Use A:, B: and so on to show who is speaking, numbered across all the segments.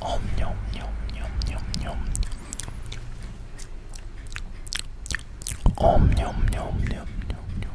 A: Om nhom nhom nhom nhom nhom Om nhom nhom nhom nhom nhom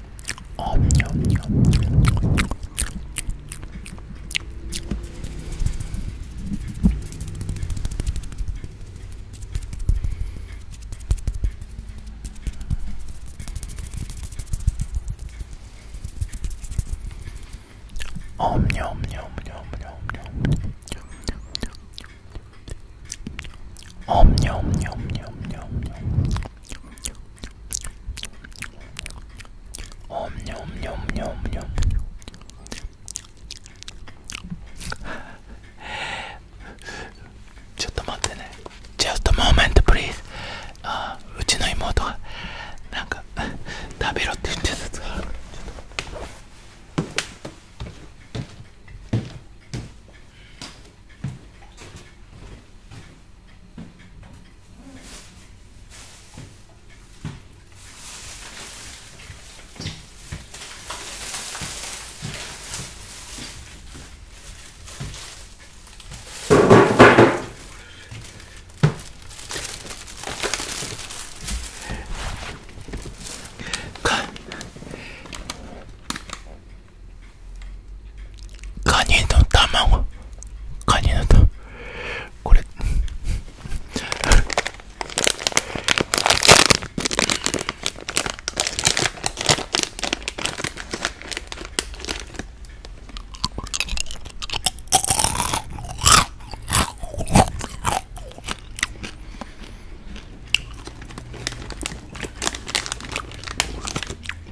A: Om nhom nhom nhom nhom nhom Om nhom nhom nhom nhom nhom おんにょんにょんにょんにょんちょっと待ってねちょっとモ moment p l e あうちの妹がなんか 食べろって言ってたやつがあるちょっとかい。カニの卵カニの卵これ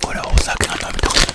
A: これはお酒が飲みたくて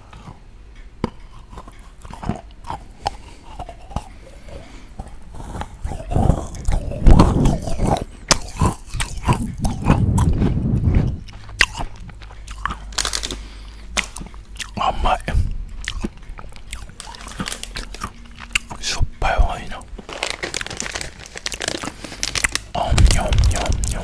A: 甘いしょっぱい方がいいなあんにょんにょんにょん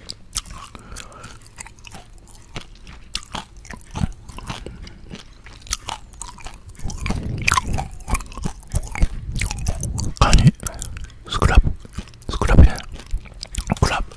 A: カニスクラブスクラブやクラブ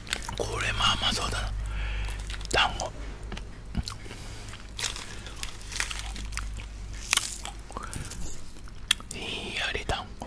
A: これもあまあそうだな団子ひんやり団子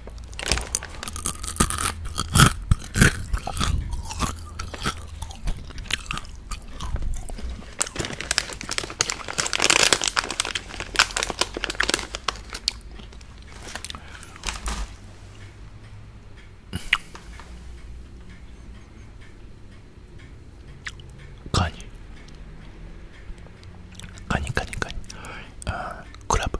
A: カニカニカニカニあクラブ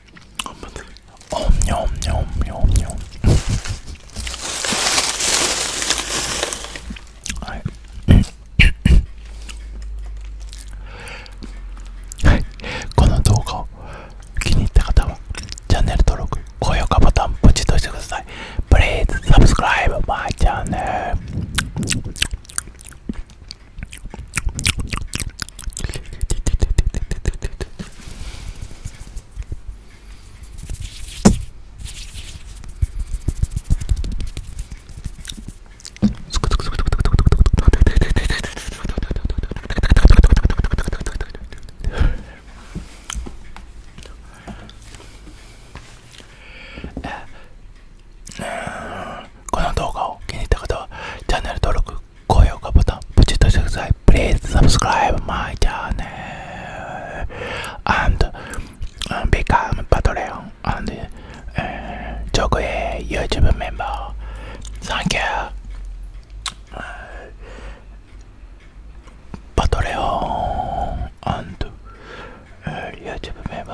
A: 頑張っておんにょんにょはいこの動画を気に入った方はチャンネル登録高評価ボタンポチッとしてくださいプ l e a サブスクライブマ i チャンネル。この動画を気に入った方はチャンネル登録高評価ボタンポチッとしてください Please subscribe my channel and become Patreon and chogwe YouTube m メンバー Thank you パトレオン and YouTube member.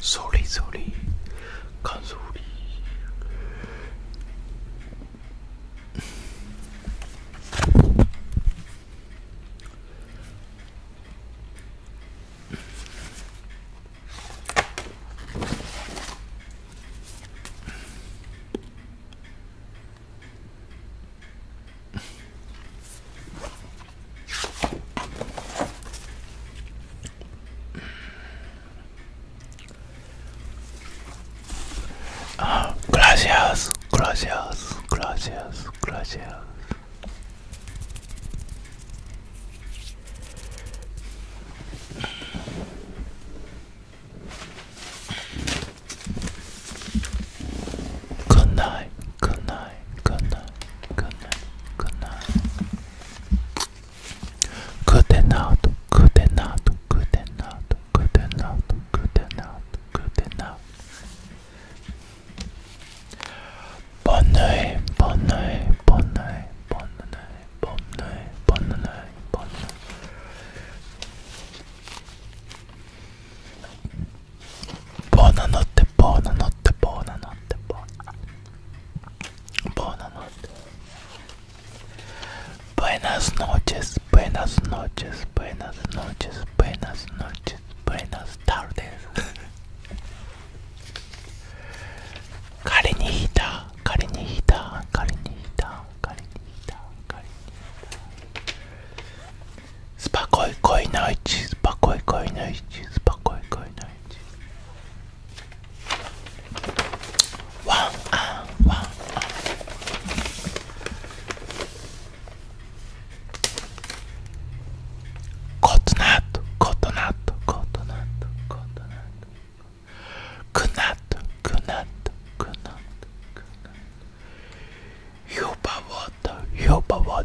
A: それそれ感想り Uh, gracias, gracias, gracias, gracias. Good night, good night. night, good night, good night, good night. Good enough, good enough, good enough, good enough, good enough, good enough. Bonne nuit, bonne nuit, bonne nuit, bonne nuit, bonne nuit, bonne nuit, bonne nuit. ボーナ乗ってボーナ乗ってボーナ乗ってボーナボーナ乗ってブエナスノーチェスブエナスノーチェスブエナスノーチェスブエナスノーチェスブエナスタルです仮に引いた仮に引いた仮に引いた仮に引いた仮に引いたスパコイコイの位置スパコイコイの位置スパコイコイの位置ワンアンワンアンコトナットコトナットコトナットコトナットクナットクナットクナットクナットヨバワタヨバワ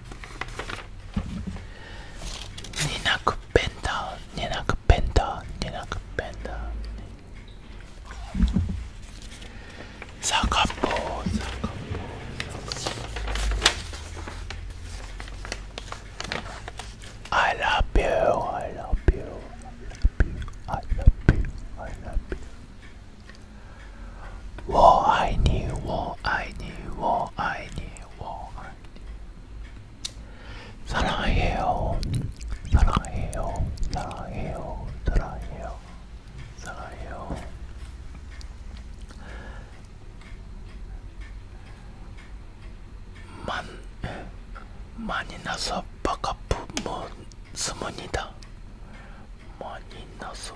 A: Ninakupenda, ninakupenda, ninakupenda. Sakapo, sakapo, I love you, I love you, I love you, I love you, I love you. 워아이니 워아이니 워아이니 워아이니 사랑해요 사랑해요 사랑해요 사랑해요 사랑해요 만 많이 나서 바깥부 뭐 스문이다 많이 나서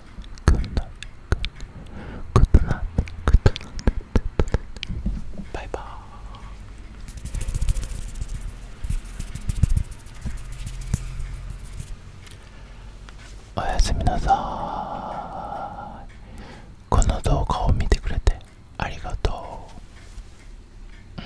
A: バイバーおやすみなさいこの動画を見てくれてありがとう、うん